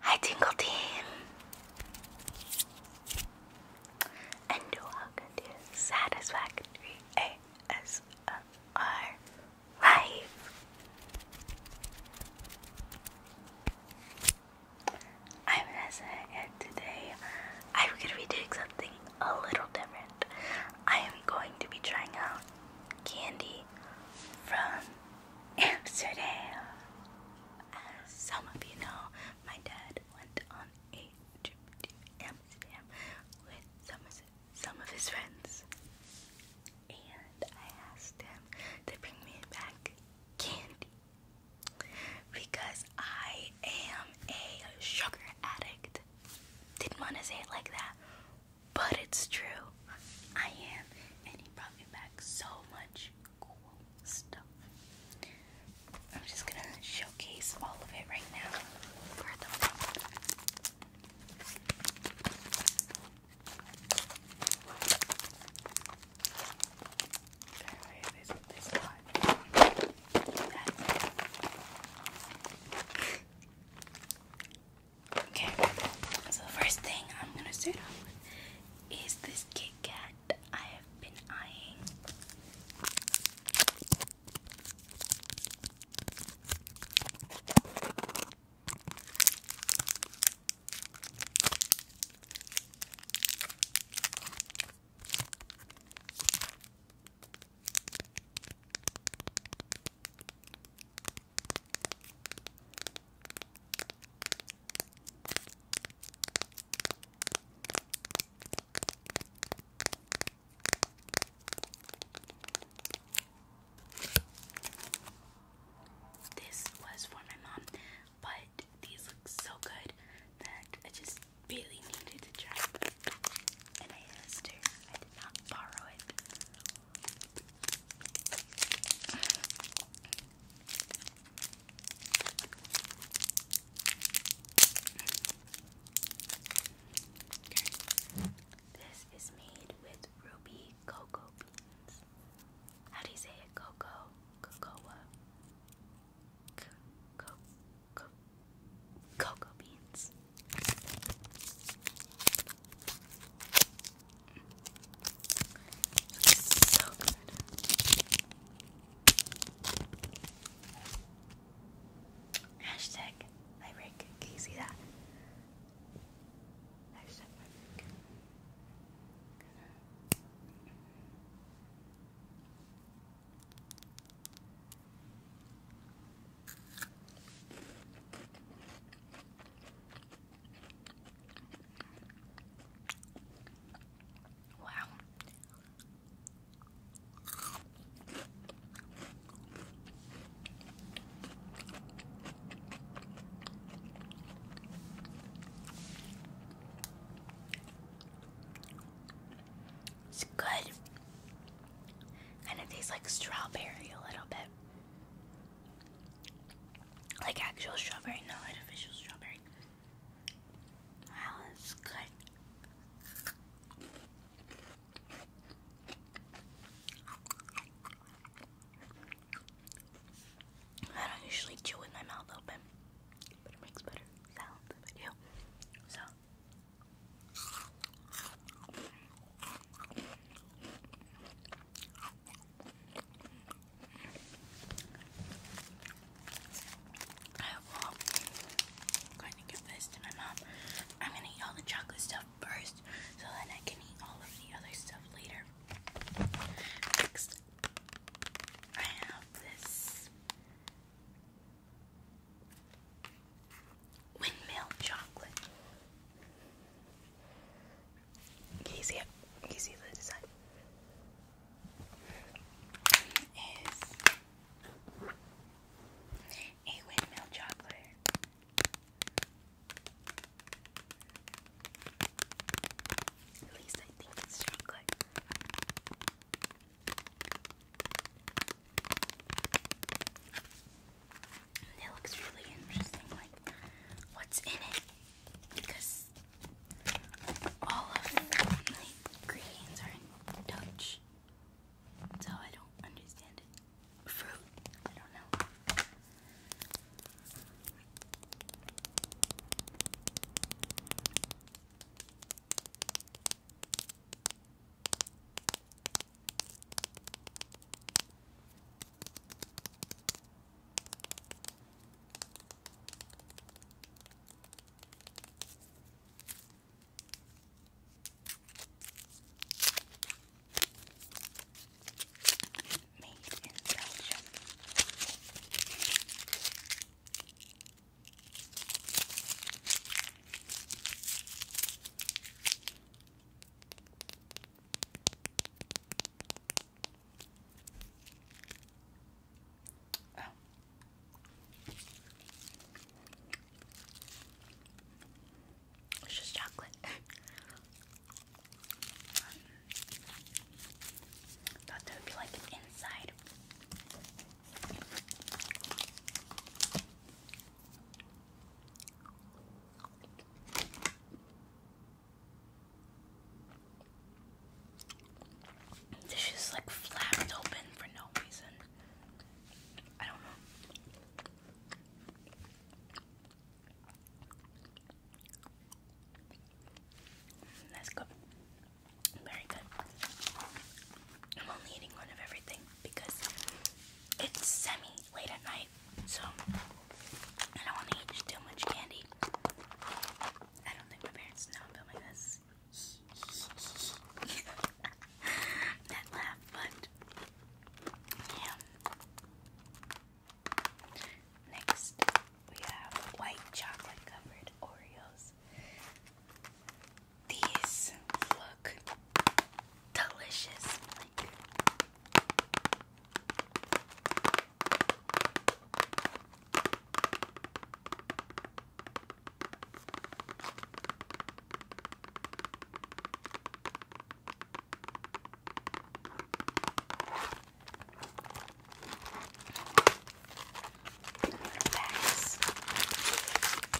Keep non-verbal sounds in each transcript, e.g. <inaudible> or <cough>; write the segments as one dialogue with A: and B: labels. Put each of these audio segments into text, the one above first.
A: Hi, Tingle Team! And welcome to Satisfactory ASMR Live! I'm Nessa, and today I'm gonna be doing something a little different. I am going to be trying out candy from <laughs> Amsterdam. As some of you know, my dad went on a trip to Amsterdam with some of his, friends. And I asked him to bring me back candy because I am a sugar addict. Didn't want to say it like that, but it's true. I am. And he brought me back so much cool stuff. I'm just gonna showcase all of it right now for the Okay, so the first thing I'm gonna start off with is this Kit Kat I have been eyeing. This was for my mom, but these look so good that I just really needed to try. And I asked did This is made with ruby cocoa beans. How do you say it? Cocoa? Cocoa? Cocoa? cocoa beans. so good. Hashtag my break. Can you see that? Hashtag Wow. It's good. And it tastes like strawberry a little bit. Like actual strawberry, not artificial strawberry. Wow, that's good. I don't usually chew with my mouth open, but it makes better sounds So, I'm going to give this to my mom. I'm going to eat all the chocolate stuff first so then I can eat all of the other stuff later. Next, I have this Windmill chocolate. Can you see it? Can you see the design? Is a windmill chocolate. At least I think it's chocolate. It looks really interesting, like what's in it, because all of the ingredients are in Dutch, so I don't understand it. Fruit, I don't know. Made in Belgium. Oh. It's just chocolate. <laughs> Thought there would be like inside. This is like flapped open for no reason. I don't know. That's good. Very good. I'm only eating one of everything because it's semi late at night, so I don't want to eat too much candy. I don't think my parents know I'm filming this. <laughs> that laugh, but yeah. Next, we have white chocolate covered Oreos things. These look delicious.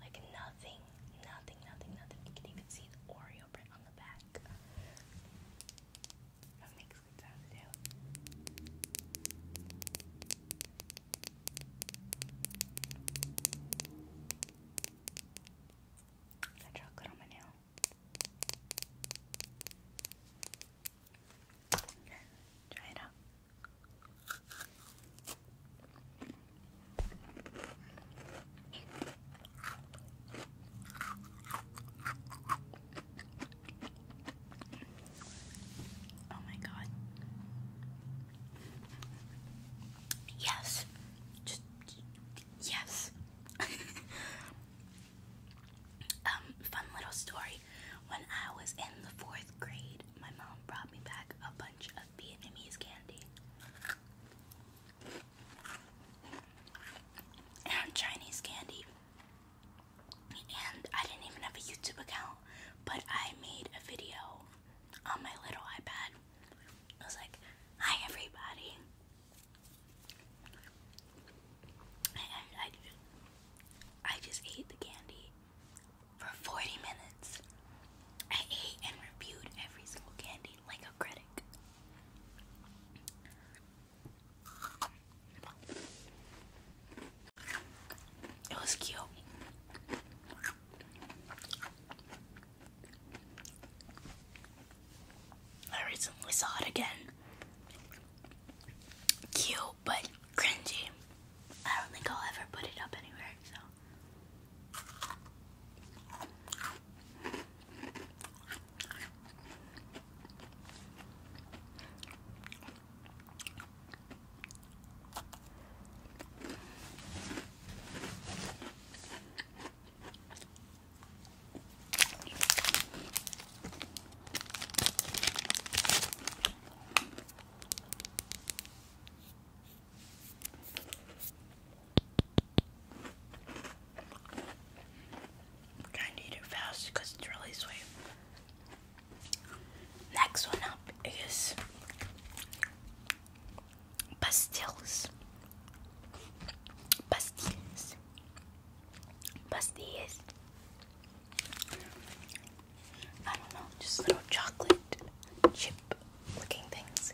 A: Like nothing, nothing, nothing, nothing. You can even see the Oreo print on the back. That makes good sound to do. Got chocolate on my nail. Try it out. Oh my god. Yes. yes. <laughs> um fun little story. When I was in the 4th grade, my mom brought me back a bunny of Vietnamese candy and Chinese candy. And I didn't even have a YouTube account, but I made a video on my little iPad. I was like, hi everybody. And I, I just ate the candy for 40 minutes. I ate and reviewed every single candy like a critic. It was cute. I recently saw it again. Cute but cringy. I don't think I'll ever put it up anywhere, so. I'm it fast because it's really sweet. Next one up is pastilles. Pastilles. Pastilles. I don't know, just little chocolate chip looking things.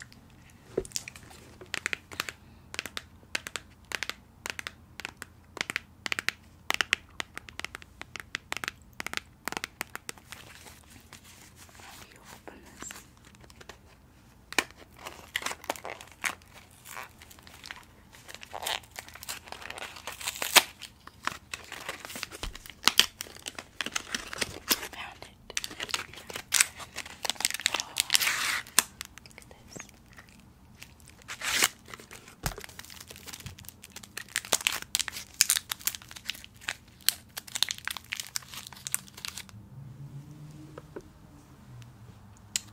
A: How do open this? Found it. look at this.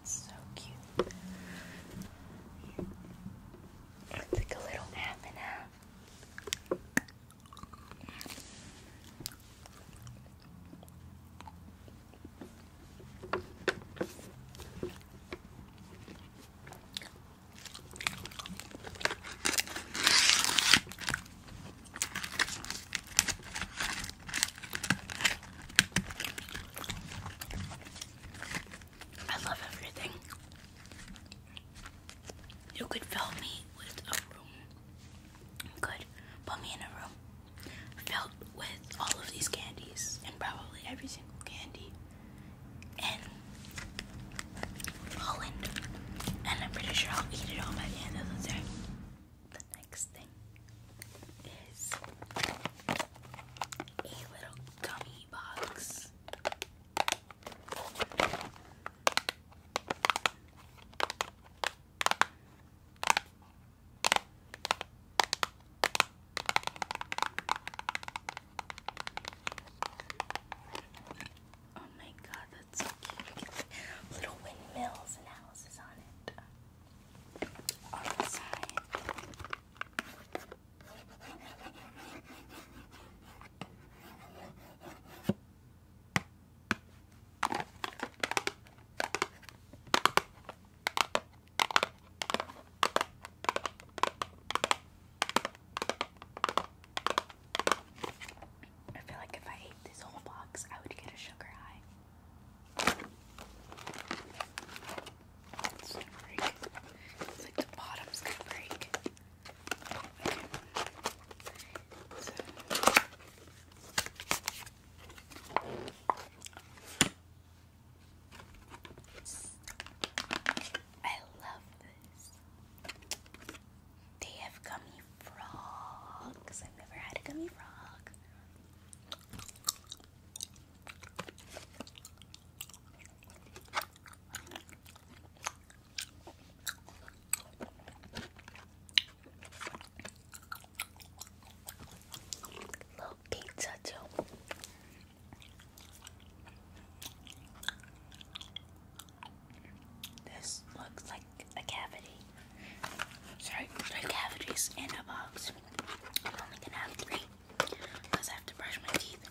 A: So cute. It's like a little half and half. I love everything. You could fill me with a room. You put me in a room filled with all of these candies and probably every single candy in Holland. And I'm pretty sure I'll eat it all by the end of the day. The next thing is a little gummy box. Oh my god, that's so cute. Little windmills and houses on it. On the side. I feel like if I ate this whole box, I would get a sugar high. It's gonna break. the bottom's gonna break. So. I love this. They have gummy frogs. I've never had a gummy frog. Little pizza This looks like a cavity. Sorry, three cavities in a box. I'm only gonna have three because I have to brush my teeth.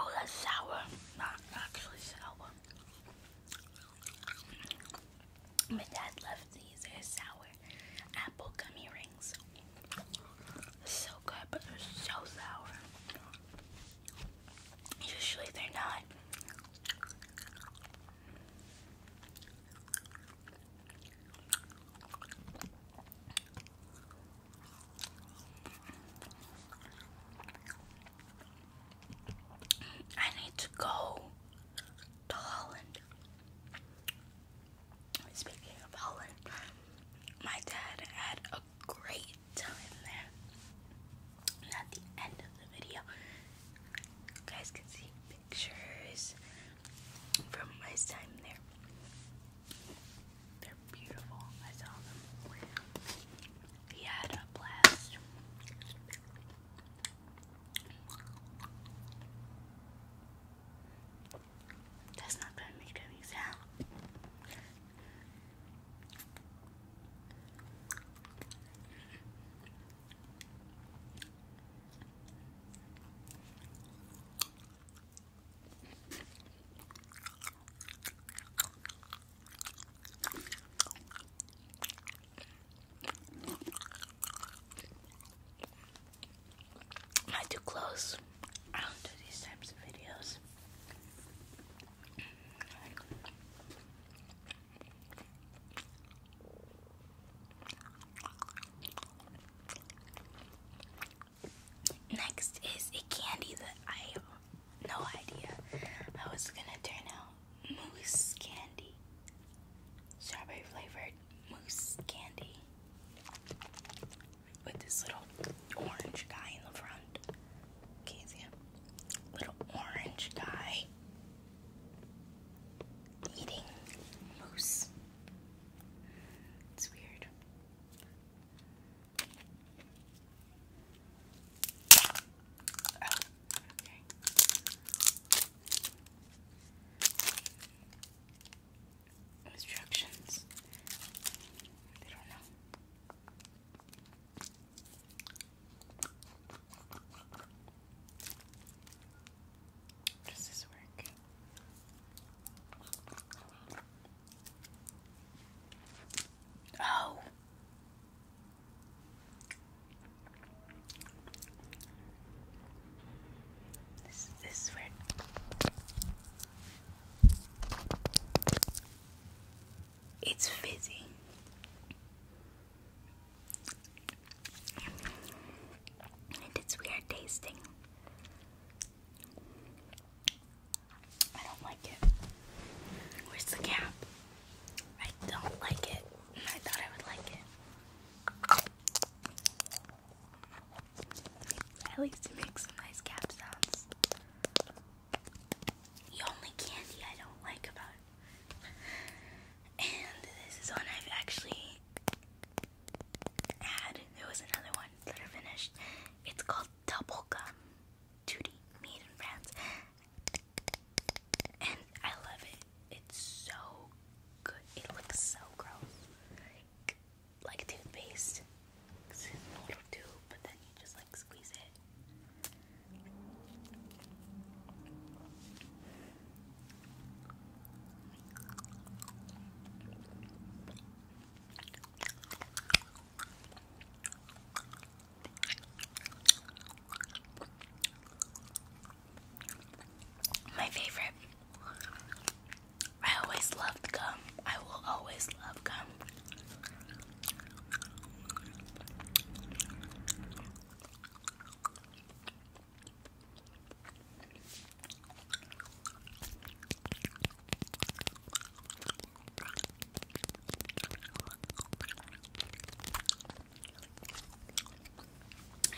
A: Oh, that's sour. Not actually sour. My dad left these. They're sour apple gummy rings. So good, but they're so sour. Usually they're not. I need to go to Holland. Speaking of Holland, my dad had a great time there. And at the end of the video, guys can see pictures from my time there. They're beautiful. I saw them. He had a blast. That's not gonna make any sound. Am I too close? I don't do these types of videos. Next is a candy that I have no idea. how it's gonna turn out mousse candy, strawberry flavored mousse candy with this little orange guy in the front. Okay, see him? Little orange guy eating mousse. It's weird. Instructions. They don't know. Does this work? Oh. This, is weird. It's fizzy. And it's weird tasting. I don't like it. Where's the cap? I don't like it. I thought I would like it. At least it makes some nice cap sounds. The only candy I don't like about it. And this is one I've actually had. There was another one that are finished. It's called Double Gum Duty Made in France. And I love it. It's so good. It looks so gross. like toothpaste. It's in a little tube, but then you just like squeeze it. My favorite. I always loved gum. I will always love gum.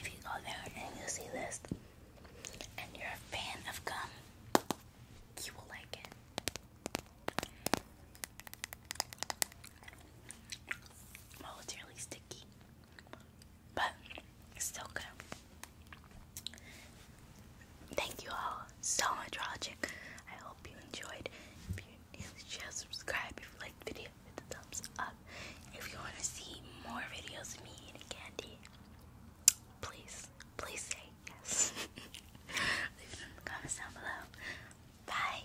A: If you go there and you see this and you're a fan of gum, you will like it. Oh, it's really sticky but it's still good. Thank you all so much for I hope you enjoyed. If you new, share, subscribe. If you like the video, hit the thumbs up. If you want to see more videos of me eating candy, please, please say yes. <laughs> Leave it in the comments down below. Bye.